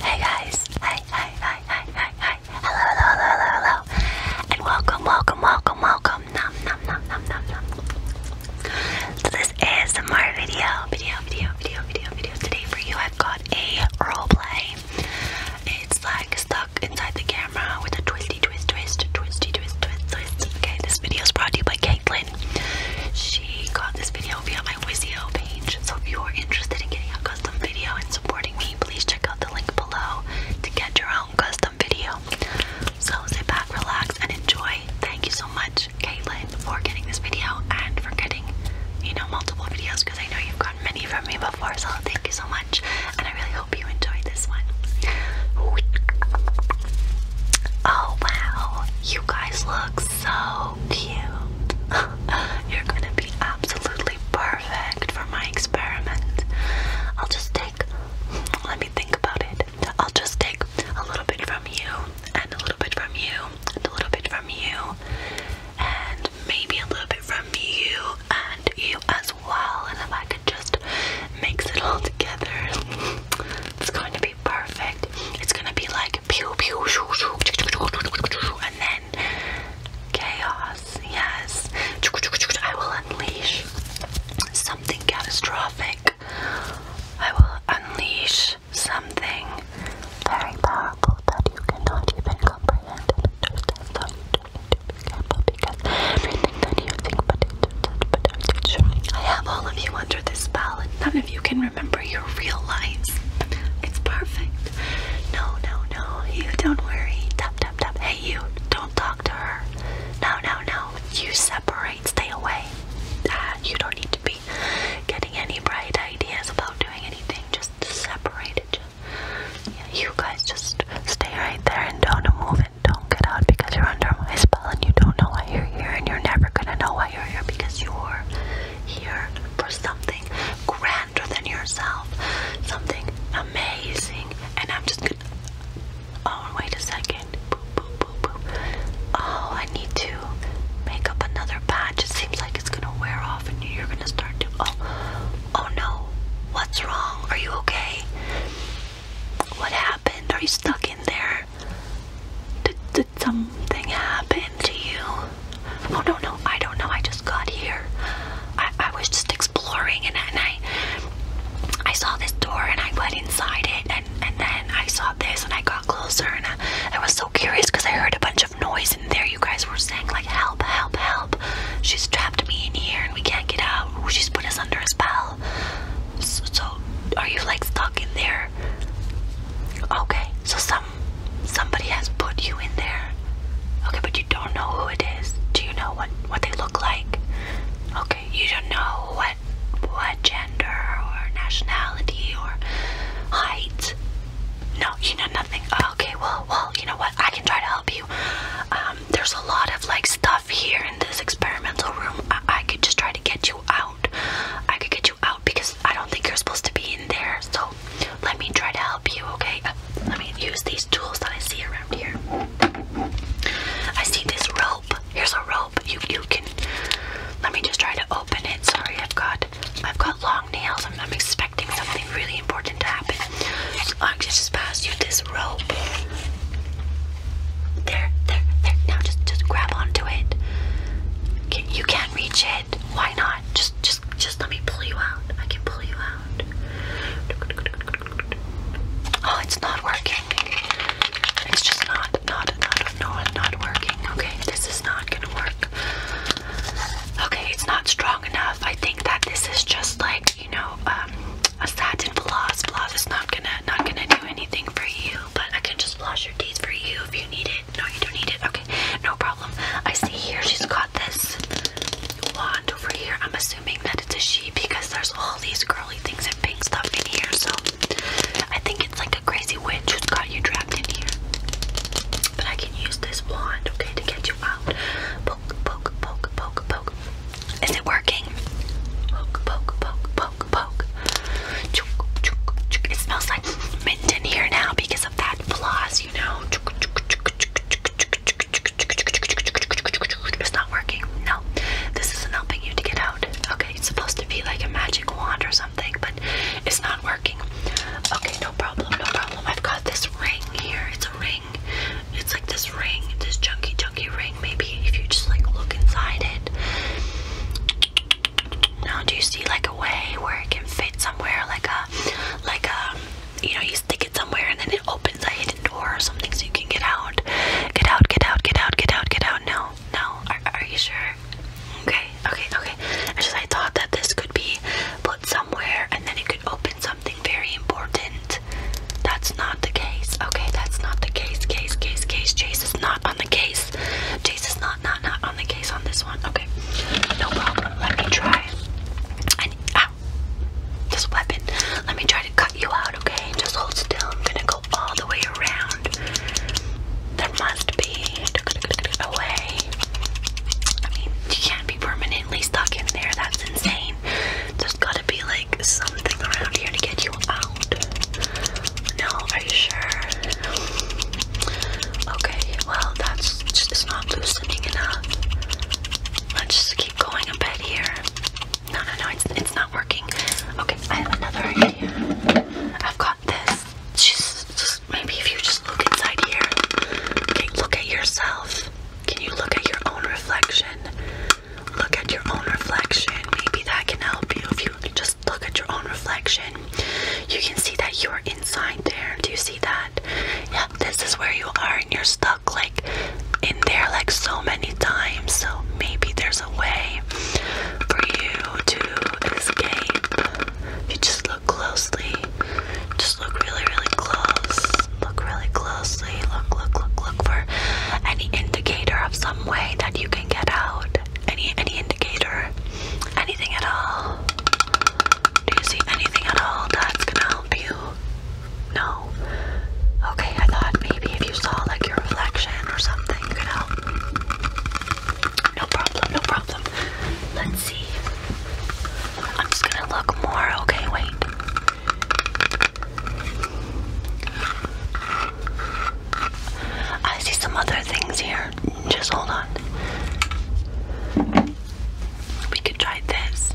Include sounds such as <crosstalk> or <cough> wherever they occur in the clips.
Hey guys! Hi, hi, hi, hi, hi, hi! Hello, hello, hello, hello, hello! And welcome, welcome, welcome, welcome! Nom, nom, nom, nom, nom, nom! So this is some more video, video, video, video, video, video. Today for you, I've got a role play. It's like stuck inside the camera with a twisty, twist, twist, twisty, twist, twist, twist. Okay, this video is brought to you by Caitlin. She got this video via my Wizio page. So if you are interested in getting a custom video and supporting me, please check out the link below to get your own custom video. So sit back, relax, and enjoy. Thank you so much, Caitlin, for getting this video and for getting, you know, multiple videos because I know you've gotten many from me before. So thank you so much, and I really hope you enjoyed this one. Oh wow, you guys look so cute. <laughs> You're gonna be absolutely perfect for my experiment. I'll just take, let me think about it. I'll just take a little bit from you, and a little bit from you, and a little bit from you, and maybe a little bit from you, and you as well. And if I could just mix it all together, <laughs> it's going to be perfect. It's gonna be like like pew pew shoo shoo and then chaos. Yes. I will unleash something catastrophic. I will unleash something very powerful that you cannot even comprehend and understand. So you do need to be careful because everything that you think but I have all of you under this spell and none of you can remember your real lives. It's perfect. No, no, no. You don't worry. Tap, tap, tap. Hey, you. Don't talk to her. No, no, no. You separate. Stay away. Ah, you don't need to be getting any bright ideas about doing anything. Just separate it. you guys just stay right there and don't move and don't get out because you're under my spot and you don't know why you're here and you're never gonna know why you're here because you're here for something grander than yourself. Something amazing. And I'm just gonna Oh wait a second. Oh, I need to make up another patch. It seems like it's gonna wear off and you're gonna start to oh oh no. What's wrong? Are you okay? What happened? Are you stuck in there? Did, did something happen to you? Oh no no, I don't know. I just got here. I, I was just exploring and, and I I saw this door and I went inside it and, and then I saw this and I got closer and I, was so curious because I heard a bunch of noise in there. You guys were saying like help, help, help. She's trapped me in here and we can't get out. She's put us under a spell so are you like stuck in there? Okay, so some somebody has put you in there. Okay, but you don't know who it is. Do you know what what they look like? Okay, you don't know what what gender or nationality or height. No, you know nothing. Okay, well, well, you know what? I can try to help you. Um, there's a lot of like stuff here in this experimental room. I, could just try to get you out. I could get you out because I don't think you're supposed to be in there. So let me try to help you, okay? Uh, let me use these tools that I see around here. I see this rope. Here's a rope. You you can. Let me just try to open it. Sorry, I've got I've got long nails. I'm, I'm expecting something really important to happen. i I just pass you this rope. There, there, there. Now just just grab onto it. you can't reach it. Why not? Just just just let me pull you out. I can pull you out. Oh, it's not working. It's just not not not not not working. Okay, this is not gonna work. Okay, it's not strong enough. I think that this is just like you know, um, a satin floss. Floss is not gonna not gonna do anything for you, but I can just floss your teeth for you if you need it. No, you don't need it. Okay, no problem. I see here she's got this wand over here. I'm assuming that it's a she because there's all these girly things and pink stuff in here. So I think it's like a crazy witch who's got you trapped in here. But I can use this wand, okay, to get you out. Poke, poke, poke, poke, poke. Is it working? Poke, poke, poke, poke, poke. Chook, chook, chook. It smells like mint in here now because of that floss, you know. It's not working. No, this isn't helping you to get out. Okay, it's supposed to be like a magic wand or something, but it's not working. Okay, no problem, no problem. I've got this ring here. It's a ring. It's like this ring, this junky junky ring. Maybe if you just like look inside it. Now, do you see like a way where it can fit somewhere, like a, like a, you know, you stick it somewhere and then it opens a hidden door or something so you can get out, get out, get out, get out, get out, get out. No, no. Are, are you sure? Okay, okay, okay. I just I thought that this could be put somewhere and then it could open something very important. That's not the case. Okay, that's not the case. Case, case, case. case. Chase is not on the case. Chase is not, not, not on the case on this one. Okay, no problem. Let me try. I need, ow, this weapon. Let me try to cut you out. Okay, just hold still. I'm gonna go all the way around. There must be a way. you can't be permanent permanently stuck in there. That's insane. There's gotta be like something around here to get you out. No, are you sure? Okay, well, that's just not loosening enough. Let's just keep going a here. No, no, no, it's not working. Okay, I have another idea. I've got this. Just, just maybe if you just look inside here. Okay, look at yourself. Can you look at your own reflection? Look at your own reflection. Maybe that can help you if you just look at your own reflection. You can see that you are inside there. Do you see that? Yeah, this is where you are and you're stuck like in there like so many times. So maybe there's a way for you to escape. If you just look closely, just look really, really close. Look really closely. Look, look, look, look for any indicator of some way that you can get out. Any, any indicator, anything at all. Do you see anything at all that's gonna help you? No. Okay, I thought maybe if you saw like your reflection or something, you could help. No problem, no problem. Let's see. I'm just gonna look more. Okay, wait. I see some other things here. Just hold on. We could try this.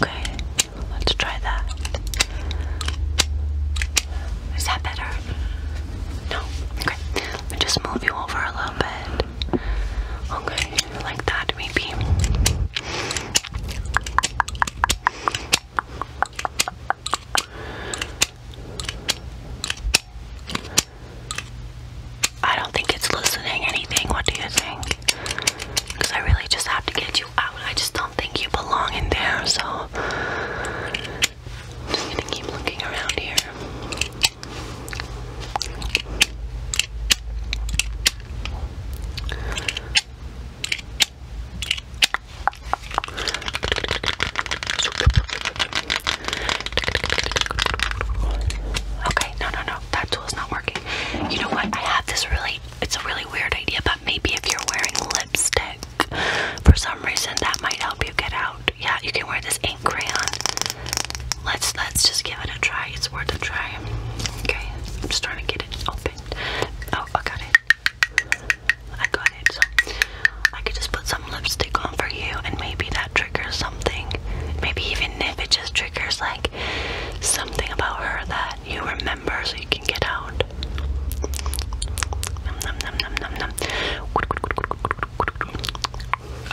Okay, let's try that. Is that better? No? Okay. Let me just move you over a little bit. Okay, oh, like that maybe. I don't think it's loosening anything. What do you think? Because I really just have to get you out. I just don't think you belong in there, so I'm just gonna keep looking around here. Okay, no, no, no, that tool is not working. You know what? I have this really, it's a really weird idea, but maybe if you're wearing lipstick for some reason, that might help you get out. Yeah, you can wear this ink crayon. Let's let's just give it a try. It's worth a try. Okay, I'm just trying to get it open. Oh, I got it. I got it. I could just put some lipstick on for you, and maybe that triggers something. Maybe even if it just triggers like something about her that you remember, so you can get out. Num, num, num, num, num, num.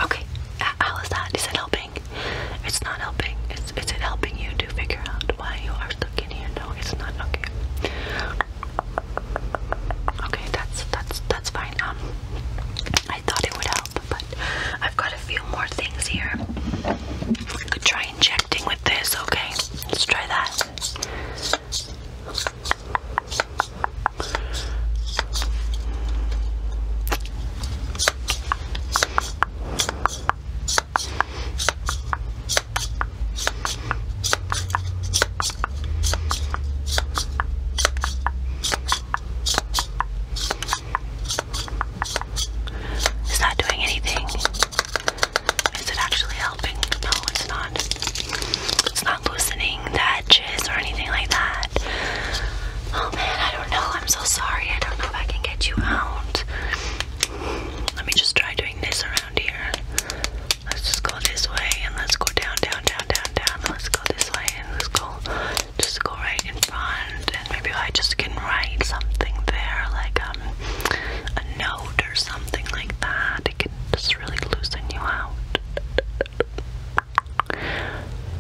Okay, how is that? Is it helping? It's not helping. Is, is it helping you to figure out why you are stuck in here? No, it's not. Okay. Okay, that's that's that's fine. Um, I thought it would help, but I've got a few more things here. We could try injecting with this. Okay, let's try that. It's not doing anything. Is it actually helping? No, it's not. It's not loosening that wedges or anything like that. Oh man, I don't know. I'm so sorry. I don't know if I can get you out. Let me just try doing this around here. Let's just go this way and let's go down, down, down, down, down. Let's go this way and let's go just go right in front. And maybe I just can write something there, like um a note or something like that. It can just really loosen you out.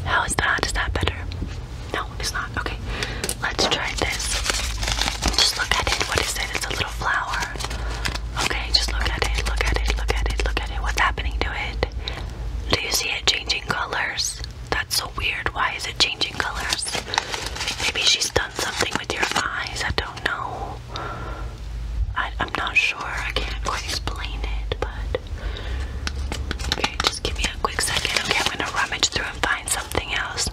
How is that? Is that better? No, it's not. Okay, let's try this. Just look at it. What is it? It's a little flower. Okay, just look at it. Look at it. Look at it. Look at it. What's happening to it? Do you see it changing colors? That's so weird. Why is it changing colors? Maybe she's done something with your eyes. I don't know. I, am not sure. I can't quite explain it, but okay, just give me a quick second. Okay, I'm gonna rummage through and find something else.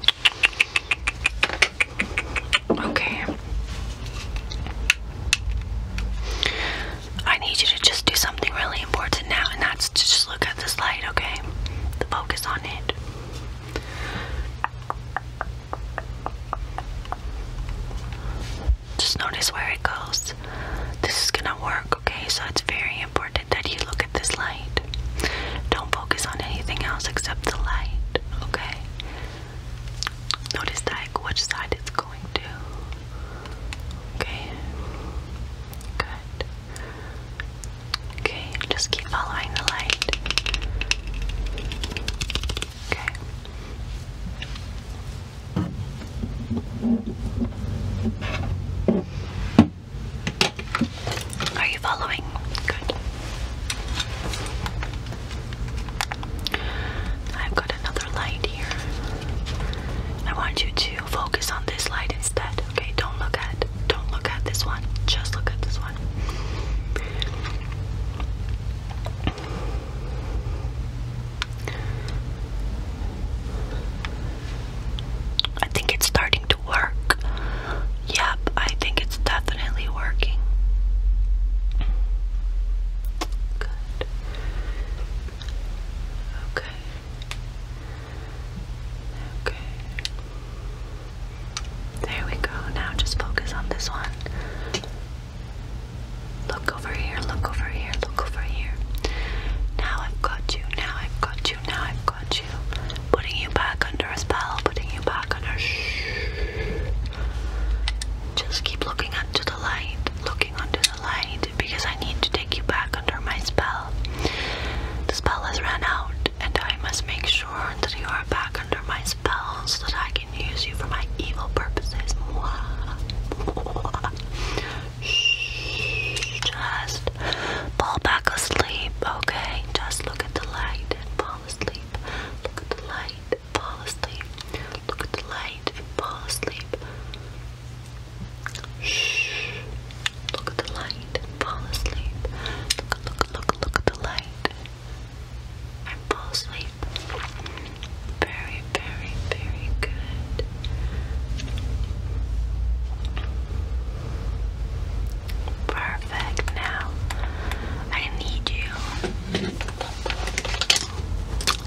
Okay. I need you to just do something really important now, and that's just look at this light, okay? The focus on it. Just notice where it goes. This is gonna work, okay? So it's very important that you look at this light. Don't focus on anything else except the light, okay? Notice like which side it's going to. Okay. Good. Okay, just keep following the light. Okay. Are you following? Good. I've got another light here. I want you to focus on this light instead. Okay, don't look at don't look at this one. Just look at this one. I think it's starting to work. Yep, I think it's definitely working. Good. Okay. Okay. There we go. Now just focus on this one. Look over here, look over here, look over here. Now I've got you, now I've got you, now I've got you. Putting you back under a spell, putting you back under. Shh. Just keep looking onto the light, looking onto the light, because I need to take you back under my spell. The spell has run out, and I must make sure that you are back under my spell so that I can use you for my evil purposes. Just fall back asleep, okay? Just look at the light and fall asleep. Look at the light, fall asleep. Look at the light and fall asleep. Look at the light and fall asleep. Look, look, look, look at the light or full sleep. Very, very, very good. Perfect. Now, I need you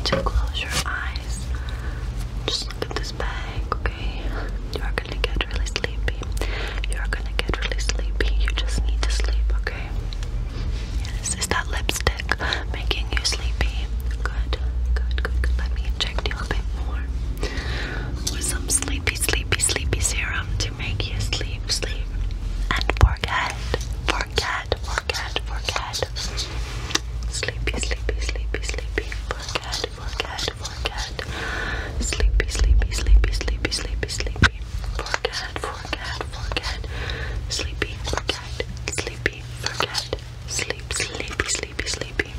to close your eyes. Just look at this bag, okay? You are gonna get really sleepy sleepy. You're gonna get really sleepy. You just need to sleep, okay? Yes, is that lipstick making you sleepy? Good, good, good, good. Let me inject you a bit more with some sleepy, sleepy, sleepy serum to make you sleep, sleep, and forget, forget, forget, forget. Sleepy, sleepy, sleepy, sleepy. Forget, forget, forget. Sleepy, sleepy, sleepy, sleepy, sleepy, sleep sleepy, forget, forget, forget, sleepy, forget, sleepy, forget, sleep, sleepy, sleepy, sleepy,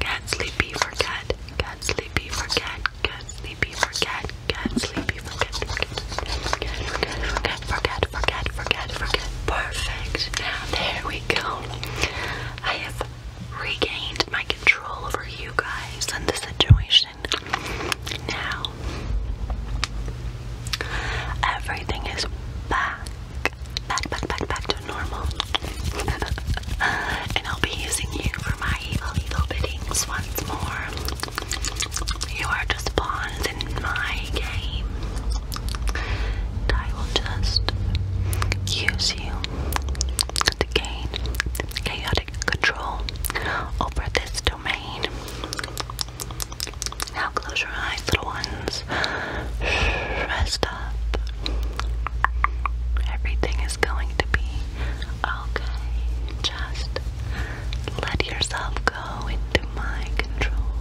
get sleepy, forget, get sleepy, forget, get sleepy, forget, get sleepy, forget, forget, forget, forget, forget, forget, forget, forget, perfect. There we go. I have regained my control over you guys and the situation. Now, everything is back, back, back, back, back to normal. <laughs> and I'll be using you for my evil, evil biddings once more. You are just pawns in my game. I will just use you to gain chaotic control over this domain. Now close your eyes, little ones. Rest up. Everything is going to be okay. Just let yourself go into my control.